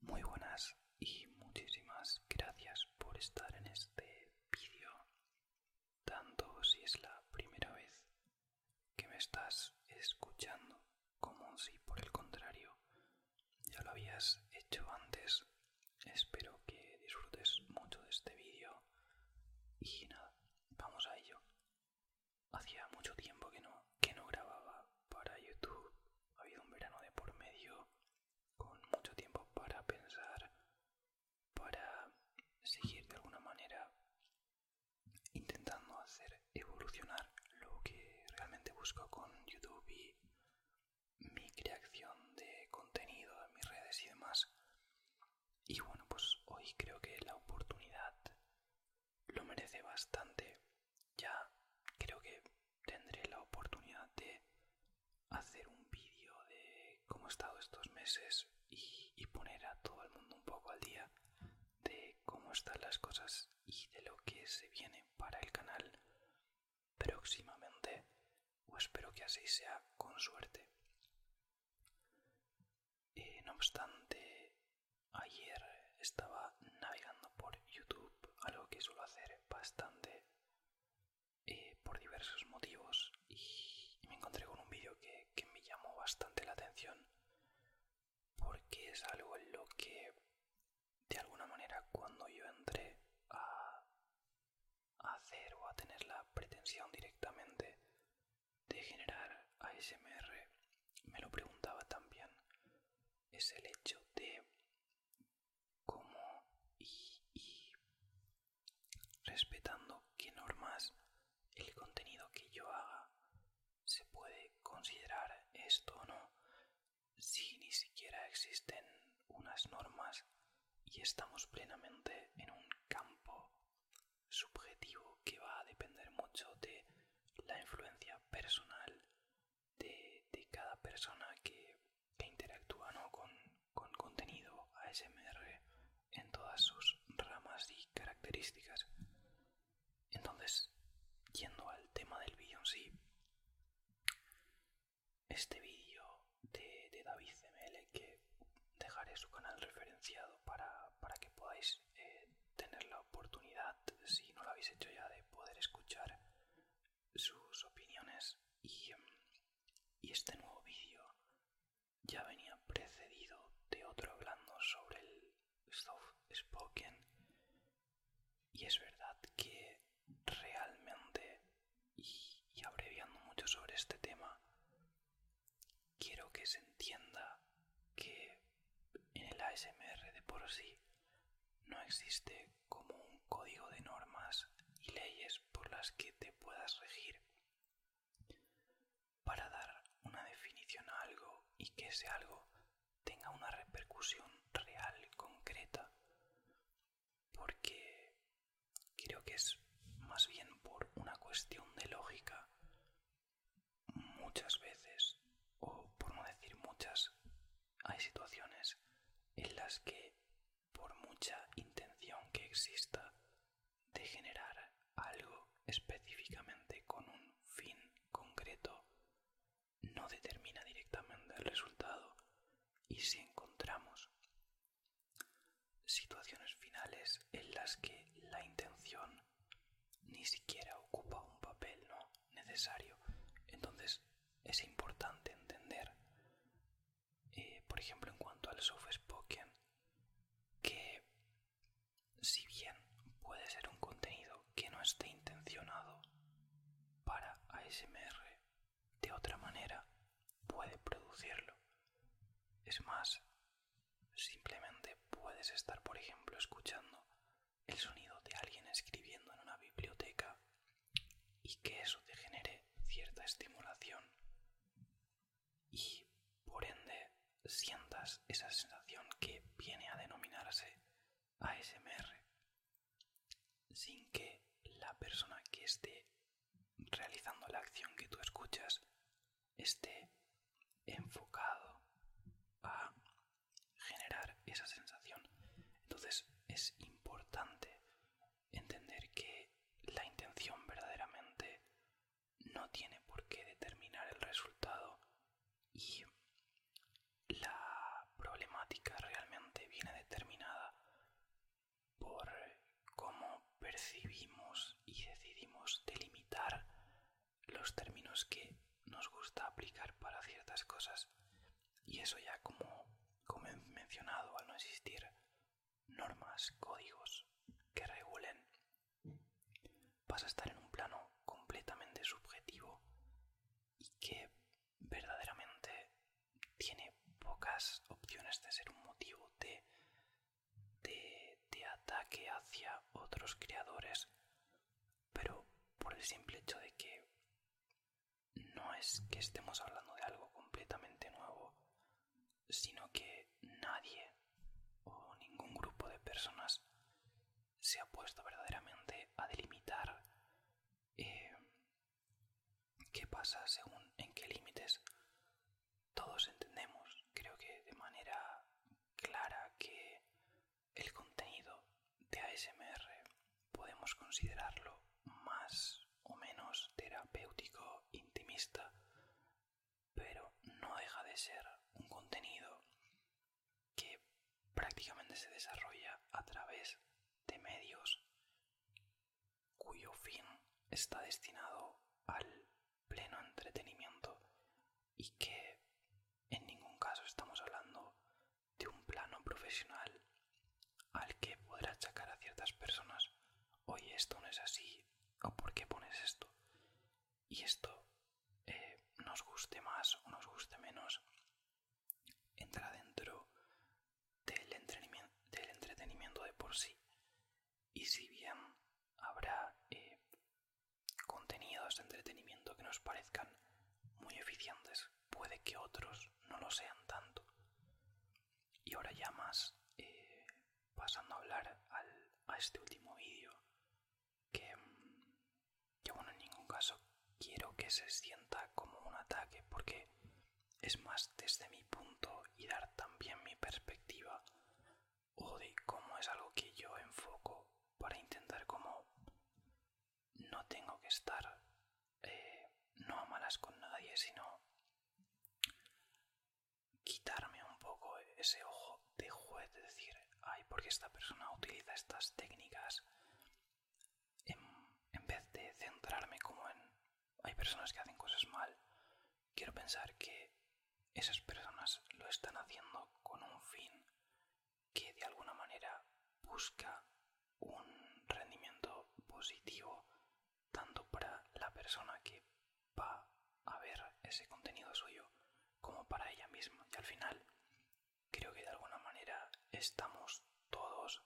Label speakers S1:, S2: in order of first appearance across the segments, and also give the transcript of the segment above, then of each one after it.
S1: Muy buenas y muchísimas gracias por estar en este vídeo, tanto si es la primera vez que me estás escuchando como si por el contrario ya lo habías hecho antes. Espero que disfrutes mucho de este vídeo y nada, vamos a ello. Hacía mucho tiempo que no, que no grababa para YouTube. Ha habido un verano de por medio con mucho tiempo
S2: para pensar, para seguir de alguna manera intentando hacer evolucionar lo que realmente busco con YouTube y mi creación
S1: de contenido en mis redes y demás. Y bueno, pues hoy creo que la oportunidad lo merece bastante. Ya creo que tendré la oportunidad de hacer un vídeo de cómo he estado estos meses y, y poner a todo el mundo un poco al día de cómo están las cosas y de lo que se viene para el canal próximamente o espero que así sea con suerte eh, no obstante, ayer estaba navegando por YouTube, algo que suelo hacer bastante eh, por diversos motivos, y, me encontré con un vídeo que, me llamó bastante la atención, porque es algo en lo que, de alguna manera, cuando yo entré a hacer o a tener la pretensión directamente de generar ASMR me lo preguntaba también es el hecho de cómo y, respetando qué normas el contenido que yo haga se puede considerar esto o no si ni siquiera existen unas normas y estamos plenamente en un campo subjetivo que va a depender mucho de la influencia personal de, cada persona que, interactúa con, contenido ASMR en todas sus ramas y características. Entonces, yendo al tema del vídeo en sí, este vídeo de, de David ml que dejaré su canal referenciado para que podáis eh, tener la oportunidad, si no lo habéis hecho ya, de poder escuchar sus opiniones mm, y, este nuevo vídeo ya venía precedido de otro hablando sobre el soft spoken y es verdad que realmente y abreviando mucho sobre este tema quiero que se entienda que en el ASMR de por sí no existe como un código de normas y leyes por las que te puedas regir para dar una definición a algo y que ese algo tenga una repercusión real, concreta, porque creo que es más bien por una cuestión de lógica muchas veces, o por no decir muchas, hay situaciones en las que, por mucha intención que exista de generar algo específicamente con un fin concreto, no determina directamente el resultado y si encontramos situaciones finales en las que la intención ni siquiera ocupa un papel ¿no? necesario. Entonces es importante entender, eh, por ejemplo, en cuanto al soft spoken, que si bien puede ser un contenido que no esté intencionado para ASMR, de otra manera puede producirlo. Es más, Simplemente puedes estar, por ejemplo, escuchando el sonido de alguien escribiendo en una biblioteca y que eso te genere cierta estimulación y, por ende, sientas esa sensación que viene a denominarse ASMR sin que la persona que esté realizando la acción que tú escuchas esté enfocado a generar esa sensación. Entonces es importante entender que la intención verdaderamente no tiene por qué determinar el resultado y la problemática realmente viene determinada por cómo percibimos y decidimos delimitar los términos que nos gusta aplicar para ciertas cosas y eso ya como, como he mencionado al no existir normas, códigos
S2: que regulen vas a estar en un plano completamente
S1: subjetivo
S2: y que verdaderamente tiene pocas opciones de ser un motivo de, de ataque hacia otros creadores pero por el simple hecho de que
S1: no es que estemos hablando de algo completamente nuevo, sino que nadie o ningún grupo de personas se ha puesto verdaderamente a delimitar eh, qué pasa según en qué límites. Todos entendemos, creo que de manera clara, que el contenido de ASMR podemos considerarlo más o menos terapéutico, intimista, pero no deja de ser un contenido que
S2: prácticamente se desarrolla a través de medios cuyo fin está destinado al pleno entretenimiento y que en ningún caso estamos hablando de un plano profesional al que podrá achacar
S1: a ciertas personas, oye, esto no es así, o por qué pones esto. Y esto eh, nos guste más o nos guste menos, entra dentro del, entretenimiento, de por sí. Y si bien habrá eh, contenidos de entretenimiento que nos parezcan muy eficientes, puede que otros no lo sean tanto. Y ahora ya más, eh, pasando a hablar a este último vídeo, que, mm, yo en ningún caso quiero que se sienta como un ataque, porque es más desde mi punto y dar también mi perspectiva o cómo es algo que yo enfoco para intentar como no tengo que estar eh, no a malas con nadie, sino quitarme un poco ese ojo de juez, de decir, ay, porque esta persona utiliza estas técnicas, en vez de centrarme como en, hay personas que hacen cosas mal, quiero pensar que esas personas lo están haciendo con un fin que de alguna manera busca un rendimiento positivo tanto para la persona que va a ver ese contenido suyo como para ella misma. Y al final creo que de alguna manera estamos todos,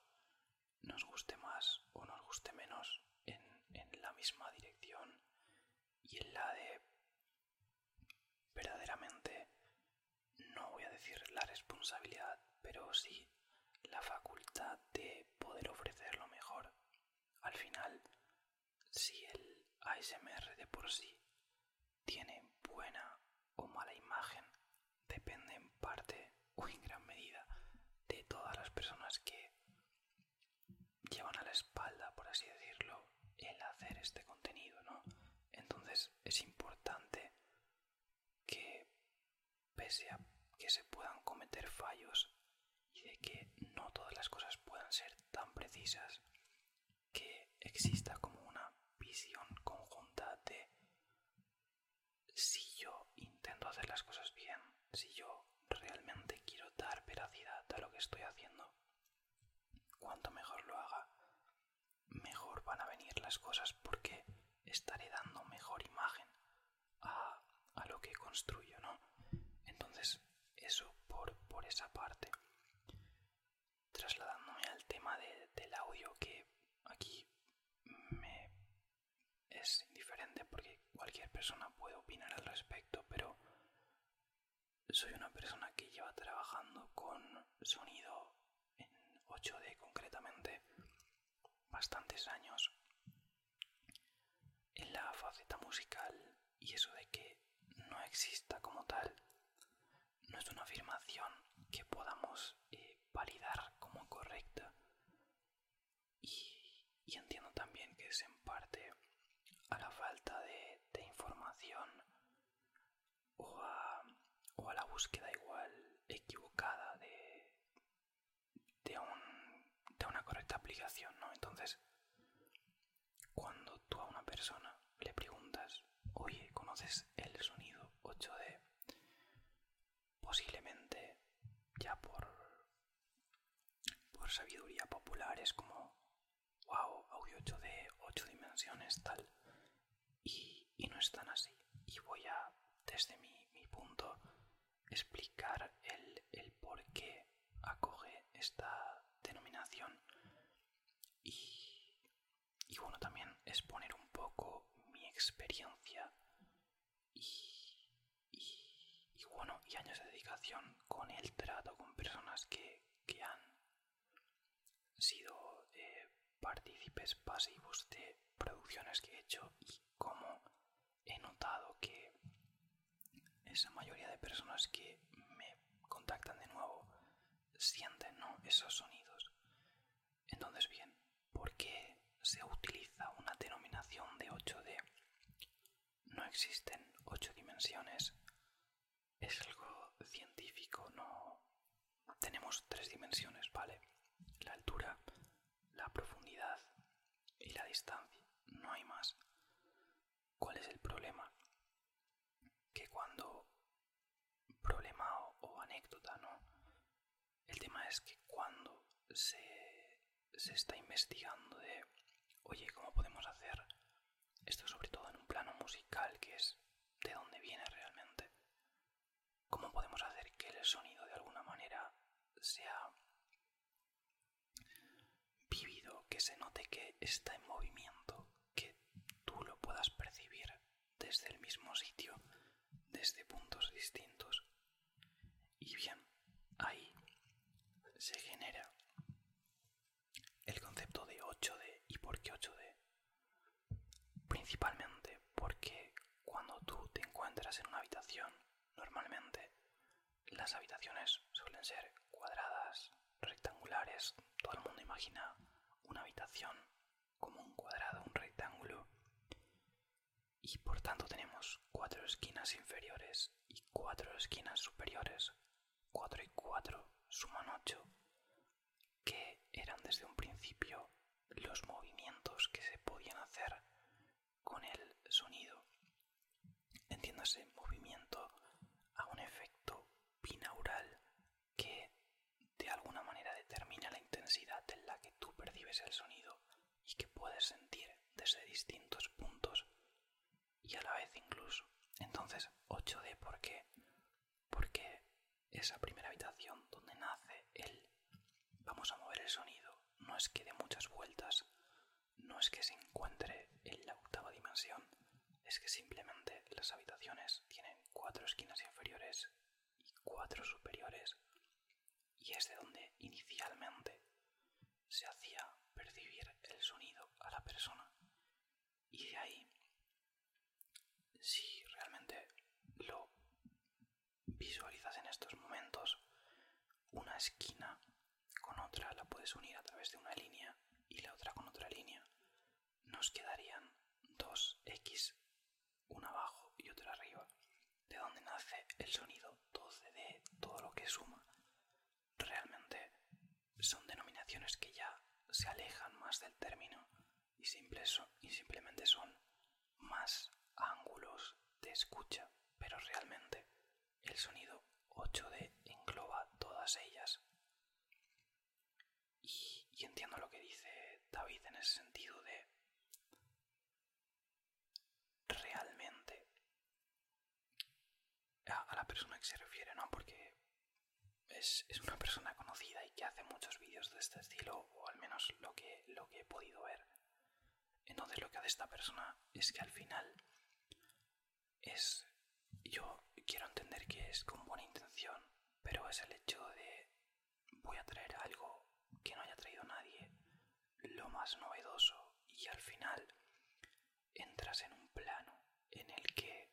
S1: nos guste más o nos guste menos, en, en la misma dirección y en la de Verdaderamente, no voy a decir la responsabilidad, pero sí la facultad de poder ofrecer lo mejor. Al final, si el ASMR de por sí tiene buena o mala imagen, depende en parte o en gran medida de todas las personas que llevan a la espalda, por así decirlo, el hacer este contenido, ¿no? Entonces es importante que, pese a que se puedan cometer fallos y de que no todas las cosas puedan ser tan precisas, que exista como una visión conjunta de si yo intento hacer las cosas bien, si yo realmente quiero dar veracidad a lo que estoy haciendo, Cuanto mejor lo haga, mejor van a venir las cosas porque estaré dando mejor imagen a, a lo que construyo, ¿no? Entonces, eso
S2: por, por esa parte. Trasladándome al tema del audio
S1: que aquí me es indiferente porque cualquier persona puede opinar al respecto, pero soy una persona que lleva trabajando con sonido en 8D concretamente bastantes años en la faceta musical y eso de que no exista como tal no es una afirmación que podamos eh, validar como correcta y entiendo también que es en parte a la falta de, información o a, la búsqueda igual equivocada de, de, de una correcta aplicación, ¿no? Entonces, cuando tú a una persona le preguntas, oye, ¿conoces el sonido 8D? Posiblemente ya por, por sabiduría popular es como, wow, audio 8 de 8 dimensiones, tal. Y, no están así. Y voy a, desde mi, punto, explicar el, por qué acoge esta denominación. Y, y bueno, también exponer un poco mi experiencia y, y, bueno, y años de dedicación con el trato con personas que han sido eh, partícipes pasivos de producciones que he hecho y como he notado que esa mayoría de personas que me contactan de nuevo sienten esos sonidos. Entonces bien, porque se utiliza una denominación de 8D? No existen 8 dimensiones, es algo científico, no... Tenemos tres dimensiones, ¿vale? La altura, la profundidad y la distancia. No hay más. ¿Cuál es el problema? Que cuando... Problema o, anécdota, ¿no? El tema es que cuando se, se está investigando de, oye, ¿cómo podemos hacer esto sobre todo en un plano musical que es de dónde viene realmente. ¿Cómo podemos hacer que el sonido de alguna manera sea vivido, que se note que está en movimiento, que tú lo puedas percibir desde el mismo sitio, desde puntos distintos? Y bien, ahí se genera el concepto de 8D. ¿Y por qué 8D? Principalmente porque cuando tú te encuentras en una habitación, normalmente las habitaciones suelen ser cuadradas, rectangulares. Todo el mundo imagina una habitación como un cuadrado, un rectángulo. Y por tanto tenemos cuatro esquinas inferiores y cuatro esquinas superiores 4 y 4 suman 8, que eran desde un principio los movimientos que se podían hacer con el sonido. Entiéndase movimiento a un efecto binaural que de alguna manera determina la intensidad en la que tú percibes el sonido y que puedes sentir desde distintos puntos y a la vez incluso. Entonces, 8D, ¿por qué? Porque esa primera habitación donde nace el vamos a mover el sonido, no es que de muchas vueltas, no es que se encuentre en la octava dimensión, es que simplemente las habitaciones tienen cuatro esquinas inferiores y cuatro superiores, y es de donde inicialmente se hacía percibir el sonido a la persona. Y de ahí, si realmente lo visualizas en estos momentos, una esquina con otra la puedes unir a través de una línea y la otra con otra línea. Nos quedarían dos X, una abajo y otra arriba, de donde nace el sonido 12 de todo lo que suma realmente son denominaciones que ya se alejan más del término y, y simplemente son más ángulos
S2: de escucha, pero realmente el sonido 8D engloba todas ellas. y, entiendo lo que dice David en ese sentido de realmente
S1: a, la persona que se refiere, ¿no? Porque es, una persona conocida y que hace muchos vídeos de este estilo, o al menos lo que, lo que he podido ver. Entonces lo que hace esta persona es que al final es... Yo quiero entender que es con buena intención, pero es el hecho de voy a traer algo que no haya traído nadie, lo más novedoso y al final entras en un plano en el que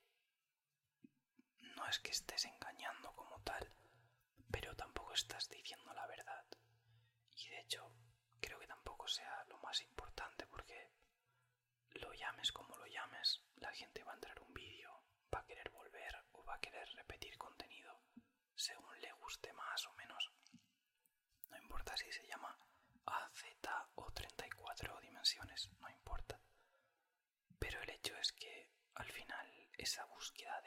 S1: no es que estés engañando como tal, pero tampoco estás diciendo la verdad. Y de hecho, creo que tampoco sea lo más importante porque lo llames como lo llames, la gente va a entrar un vídeo, va a querer volver o va a querer repetir contenido según le guste más o menos. No importa si se llama a z o 34 dimensiones, no importa. Pero el hecho es que al final esa búsqueda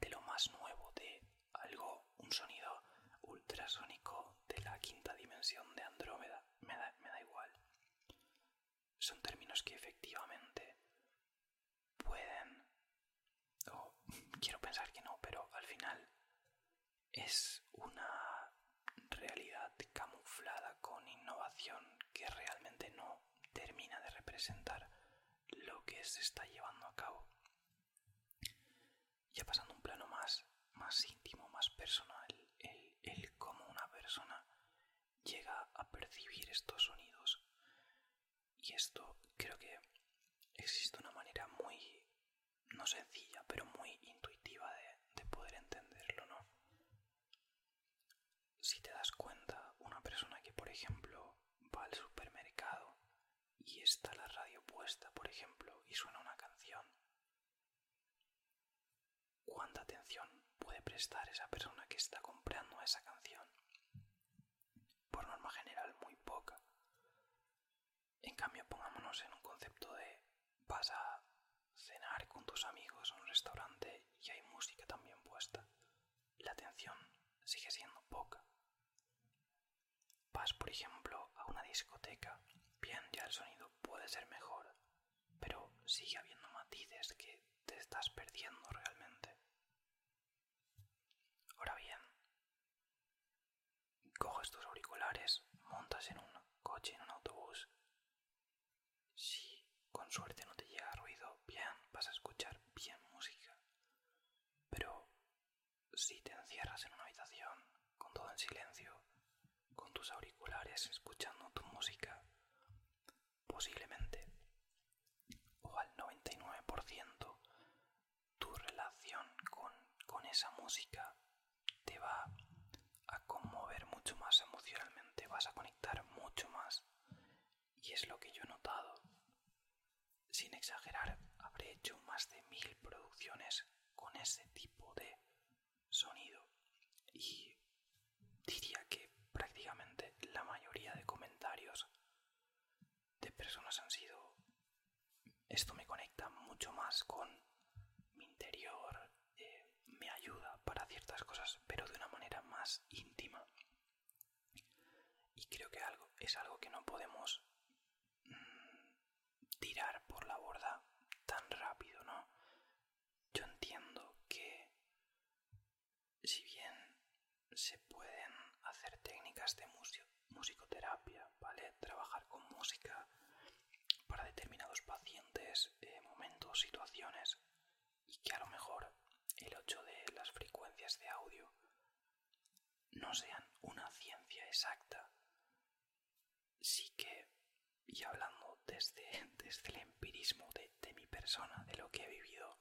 S1: de, lo más nuevo, de algo, un sonido ultrasónico de la quinta dimensión de Andrómeda, me da, igual. Son términos que efectivamente pueden, o quiero pensar que no, pero al final es una realidad camuflada con innovación que realmente no termina de representar lo que se está llevando a cabo. Ya pasando a un plano más, más íntimo, más personal, el, el cómo una persona llega a percibir estos sonidos. Y esto creo que existe una manera muy no sencilla, pero muy intuitiva de, poder entenderlo, ¿no? Si te das cuenta, una persona que, por ejemplo, va al supermercado y está la radio puesta, por ejemplo, y suena una canción, ¿cuánta atención puede prestar esa persona que está comprando esa canción? Por norma general, muy poca. En cambio, pongámonos en un concepto de vas a cenar con tus amigos en un restaurante y hay música también puesta. La atención sigue siendo poca. Vas, por ejemplo, a una discoteca. Bien, ya el sonido puede ser mejor, pero sigue habiendo matices que te estás perdiendo realmente. Ahora bien, coges tus auriculares, montas en un coche, en un autobús. Si con suerte no te llega ruido, bien, vas a escuchar bien música. Pero si te encierras en una habitación, con todo en silencio, con tus auriculares escuchando tu música, posiblemente o al 99% tu relación con, con esa música te va a conmover mucho más emocionalmente, vas a conectar mucho más. Y es lo que yo he notado. Sin exagerar, habré hecho más de mil producciones con ese tipo de sonido. Y diría que prácticamente la mayoría de comentarios de personas han sido esto me conecta mucho más con mi interior, eh, me ayuda para ciertas cosas, pero de una manera más íntima. Y creo que algo, es algo que no podemos
S2: mm, tirar por la borda tan rápido, ¿no?
S1: Yo entiendo que si bien se pueden hacer técnicas de musicoterapia, ¿vale? Trabajar con música para determinados pacientes, eh, momentos, situaciones y que a lo mejor el 8 de las frecuencias de audio no sean una ciencia exacta. Sí que, y
S2: hablando desde, desde el empirismo de mi persona, de lo que he vivido,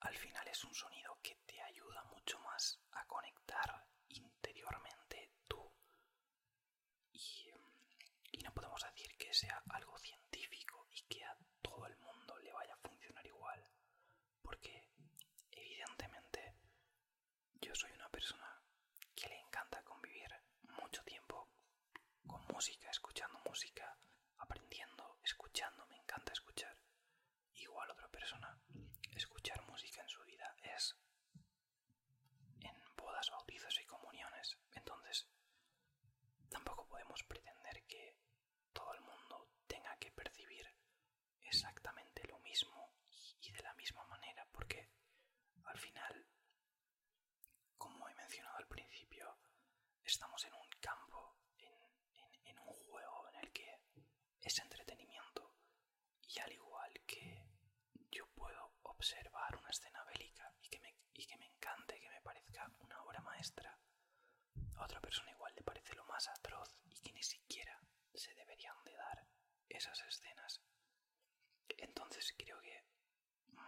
S2: al final es un sonido que te ayuda mucho más a conectar interiormente tú y, no podemos decir que sea algo científico y que a todo el mundo le vaya a funcionar igual.
S1: Porque evidentemente yo soy una persona que le encanta convivir mucho tiempo con música, escuchando música, aprendiendo, escuchando, me encanta escuchar. Igual otra persona, escuchar música en su vida es en bodas, bautizos y comuniones. Entonces, tampoco podemos pretender que todo el mundo tenga que percibir exactamente lo mismo y de la misma manera, porque al final, como he mencionado al principio, estamos en un campo, en, un juego en el que es entretenimiento y al igual que yo puedo observar una escena bélica y que me, y que me encante, que me parezca una obra maestra, a otra persona igual le parece lo más atroz y que ni siquiera se deberían de dar esas escenas.
S2: Entonces creo que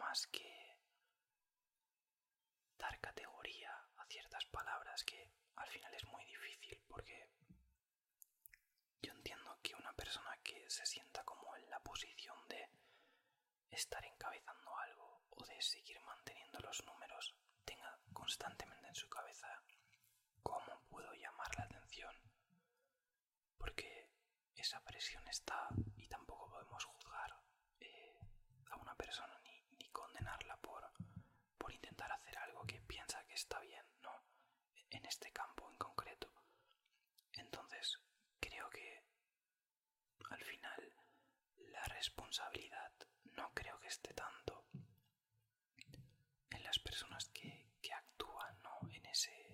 S2: más que dar categoría a ciertas palabras que al final es muy difícil porque yo entiendo que una
S1: persona que se sienta como en la posición de estar encabezando algo o de seguir manteniendo los números tenga constantemente en su cabeza cómo puedo llamar la atención. Porque esa presión está y tampoco podemos juzgar eh, a una persona ni, condenarla por, por intentar hacer algo que piensa que está bien, no en este campo en concreto. Entonces, creo que al final la responsabilidad no creo que esté tanto en las personas que, actúan ¿no? en, ese,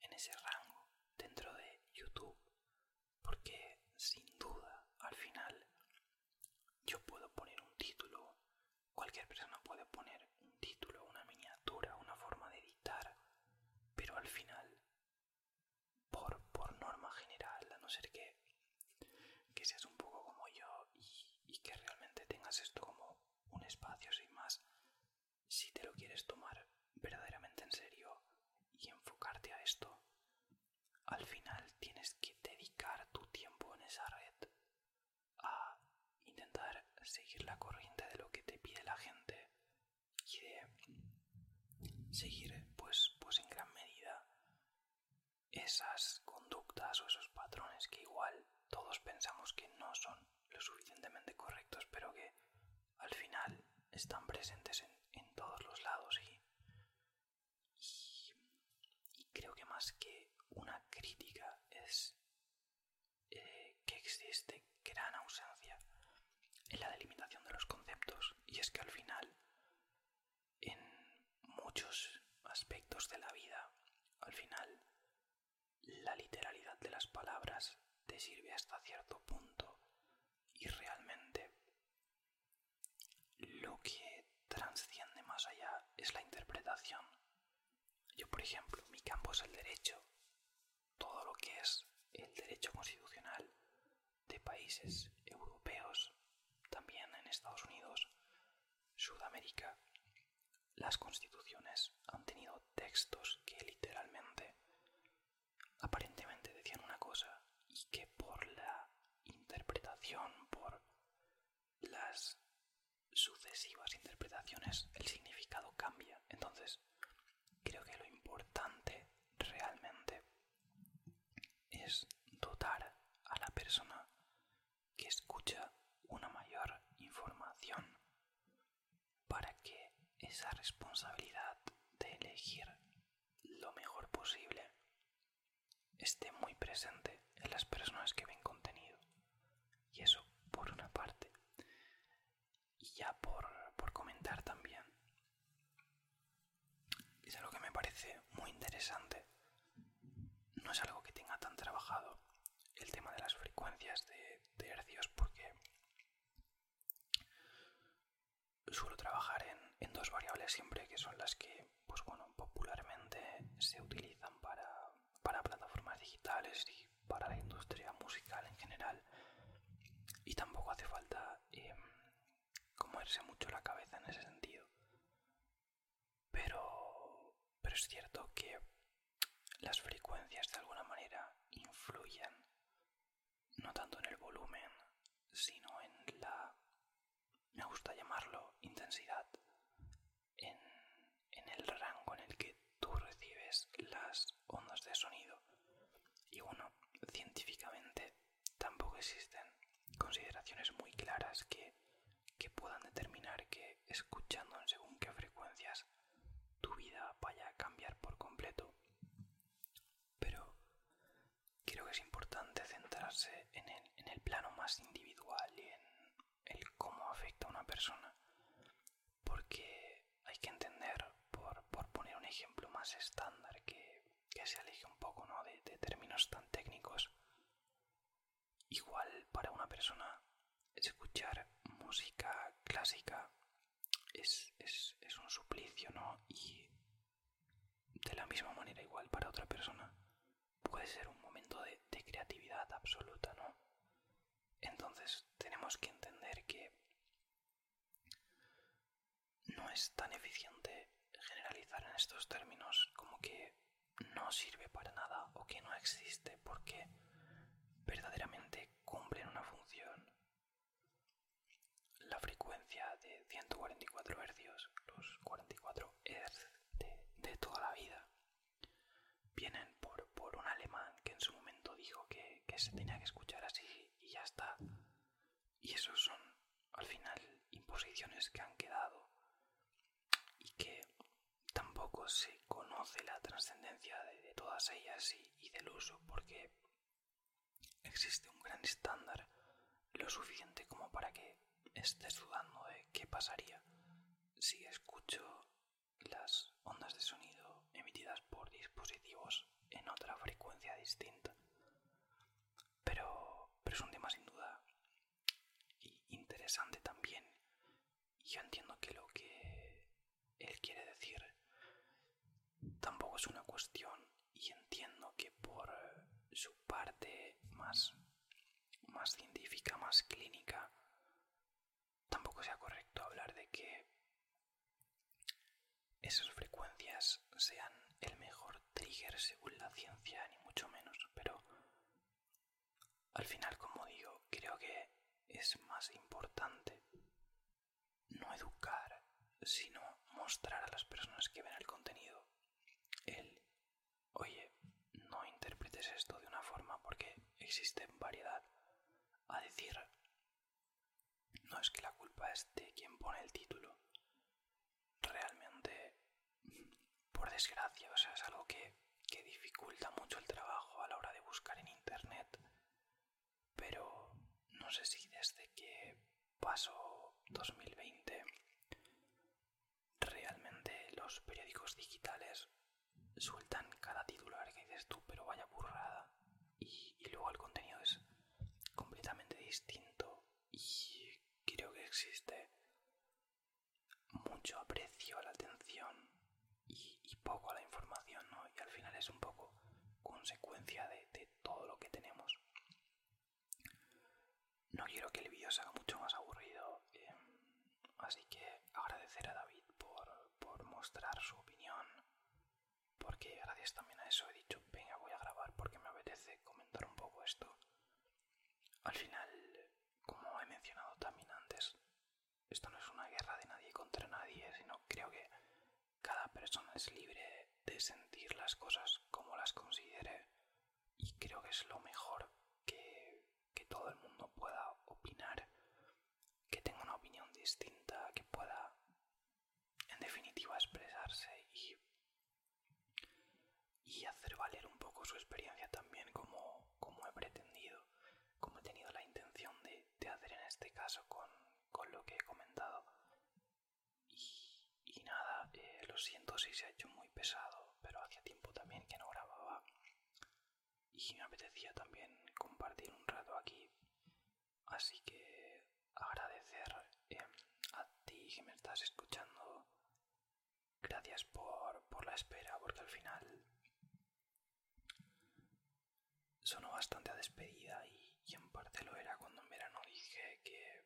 S1: en ese rango dentro de YouTube, porque sin duda al final yo puedo poner un título Cualquier persona puede poner un título, una miniatura, una forma de editar, pero al final, por, por norma general, a no ser que, que seas un poco como yo y que realmente tengas esto como un espacio sin más, si te lo quieres tomar verdaderamente en serio y enfocarte a esto, al final tienes que dedicar tu tiempo en esa red a intentar seguir la corriente de lo que te pide la gente y de seguir pues, pues en gran medida esas conductas o esos patrones que igual todos pensamos que no son lo suficientemente correctos pero que al final están presentes en, todos los lados y creo que más que una crítica es eh, que existe gran ausencia en la delimitación de los conceptos y es que al final en muchos aspectos de la vida al final la literalidad de las palabras te sirve hasta cierto punto y realmente lo que
S2: transciende más allá es la interpretación yo, por ejemplo, mi campo es el
S1: derecho, todo lo que es el derecho constitucional de países europeos, también en Estados Unidos, Sudamérica. Las constituciones han tenido textos que literalmente, aparentemente decían una cosa y que por la interpretación, por las sucesivas interpretaciones el significado cambia. Entonces, creo que lo importante realmente es dotar a la persona que escucha una mayor información para que esa responsabilidad de elegir lo mejor posible esté muy presente en las personas que ven contenido. Y eso por una parte. Y ya por, comentar también. Es algo que me parece muy interesante. No es algo que tenga tan trabajado el tema de las frecuencias de, de hercios porque suelo trabajar en, en dos variables siempre que son las que pues bueno popularmente se utilizan para para plataformas digitales y para la industria musical en general y tampoco hace falta em, comerse mucho la cabeza en ese sentido pero pero es cierto que las frecuencias de alguna manera influyen no tanto en el volumen sino en la me gusta llamarlo intensidad en, el rango en el que tú recibes las
S2: ondas de sonido. Y bueno, científicamente tampoco existen consideraciones muy claras que, puedan determinar que escuchando en según qué frecuencias tu vida vaya a cambiar por completo. Pero creo que es importante centrarse en el, en el plano más
S1: individual y en, el cómo afecta a una persona. Porque hay que entender, por, poner un ejemplo más estándar, que, que se aleje un poco ¿no? de, términos tan técnicos,
S2: igual para una persona escuchar música clásica es, es, un suplicio, ¿no? Y de la misma manera igual para otra
S1: persona puede ser un momento de, creatividad absoluta, ¿no? Entonces tenemos que entender que no es tan eficiente generalizar en estos términos como que no sirve para nada o que no existe porque verdaderamente cumplen una función. La frecuencia de 144 Hz, los 44 Hz de toda la vida, vienen por, un alemán que en su momento dijo que, se tenía que escuchar así y ya está. Y eso son, al final, imposiciones que han quedado y que tampoco se conoce la trascendencia de, todas ellas y del uso porque existe un gran estándar lo suficiente como para que estés dudando de qué pasaría si escucho las ondas de sonido emitidas por dispositivos en otra frecuencia distinta. Pero, pero es un tema sin duda interesante también. Yo entiendo que lo que él quiere decir tampoco es una cuestión y entiendo que por su parte más, más científica, más clínica, tampoco sea correcto hablar de que esas frecuencias sean el mejor trigger según la ciencia, ni mucho menos, pero al final, como digo, creo que es más importante no educar, sino mostrar a las personas que ven el contenido el Oye, no interpretes esto de una forma porque existe variedad. A decir, no es que la culpa es de quien pone el título. Realmente, por desgracia, es algo que, que dificulta mucho el trabajo a la hora de buscar en Internet. Pero no sé si desde que pasó 2020 realmente los periódicos digitales sueltan cada titular que dices tú, pero vaya burrada. Y, luego el contenido es completamente distinto. Y creo que existe mucho aprecio a la atención y, poco a la información, ¿no? Y al final es un poco consecuencia de, todo lo que tenemos. No quiero que el vídeo sea mucho más aburrido. Eh, Así que agradecer a David por, mostrar su opinión, porque gracias también a eso he dicho, venga, voy a grabar porque me apetece comentar un poco esto. Al final, como he mencionado también antes, esto no es una guerra de nadie contra nadie, sino creo que cada persona es libre de sentir las cosas como las considere y creo que es lo mejor que, que todo el mundo pueda opinar, que tenga una opinión distinta, que pueda en definitiva expresarse y, hacer valer un poco su experiencia también como, he pretendido, como he tenido la intención de, hacer en este caso con, lo que he comentado. Y, nada, eh, lo siento si se ha hecho muy pesado, pero hacía tiempo también que no grababa y me apetecía también compartir un rato aquí. Así que agradecer eh, a ti que me estás escuchando. Gracias por, la espera, porque al final sonó bastante a despedida y, en parte lo era cuando en verano dije que,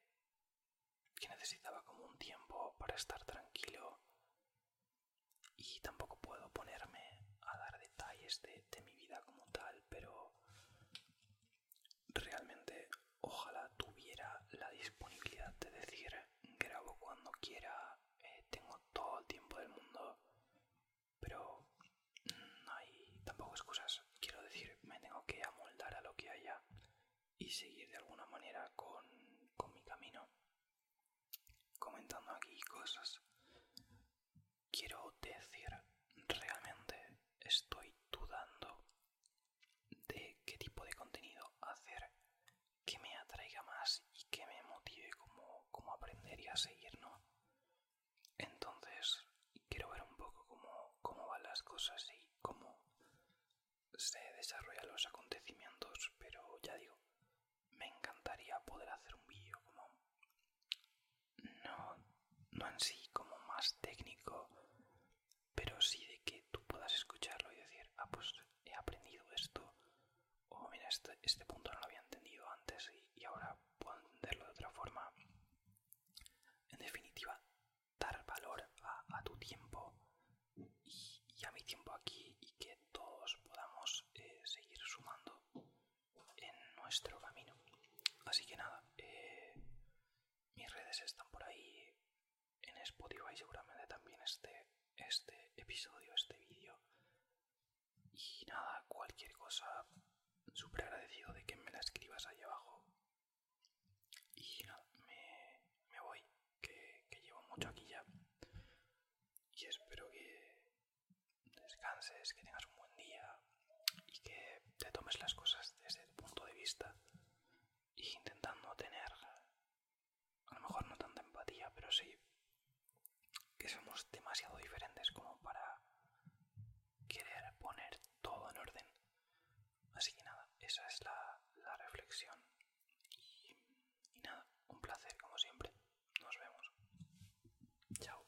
S1: que necesitaba como un tiempo para estar tranquilo y tampoco puedo ponerme a dar detalles de, mi vida como tal, pero realmente ojalá tuviera la disponibilidad de decir grabo cuando quiera, eh, tengo todo el tiempo del mundo, pero no hay tampoco excusas, quiero decir, me tengo que amoldar a lo que haya y seguir de alguna manera con mi camino comentando aquí cosas. Quiero decir, realmente estoy dudando de qué tipo de contenido hacer que me atraiga más y que me motive como, como aprender y a seguir, ¿no? Entonces, quiero ver un poco cómo, cómo van las cosas y cómo se desarrollan los acontecimientos, pero ya digo, me encantaría poder hacer un vídeo como... No, no en sí como más técnico, pero sí de que tú puedas escucharlo y decir, ah, pues he aprendido esto, o mira, este, este punto no lo había entendido antes y, ahora puedo entenderlo de otra forma. En definitiva, dar valor a tu tiempo y, ya a mi tiempo aquí y que todos podamos eh, seguir sumando en nuestro camino. Así que nada, eh, mis redes están por ahí en Spotify, seguramente también este, este episodio, este vídeo. Y nada, cualquier cosa, súper agradecido de que me la escribas ahí abajo. Y nada, me voy que, llevo mucho aquí ya.
S2: Y espero que descanses, que tengas un buen día y que te tomes las cosas desde el punto de vista. Y intentando tener, a lo mejor no tanta empatía, pero sí que
S1: somos demasiado diferentes como para querer poner todo en orden. Así que nada, esa es la reflexión y, nada, un placer como siempre. Nos vemos. Chao.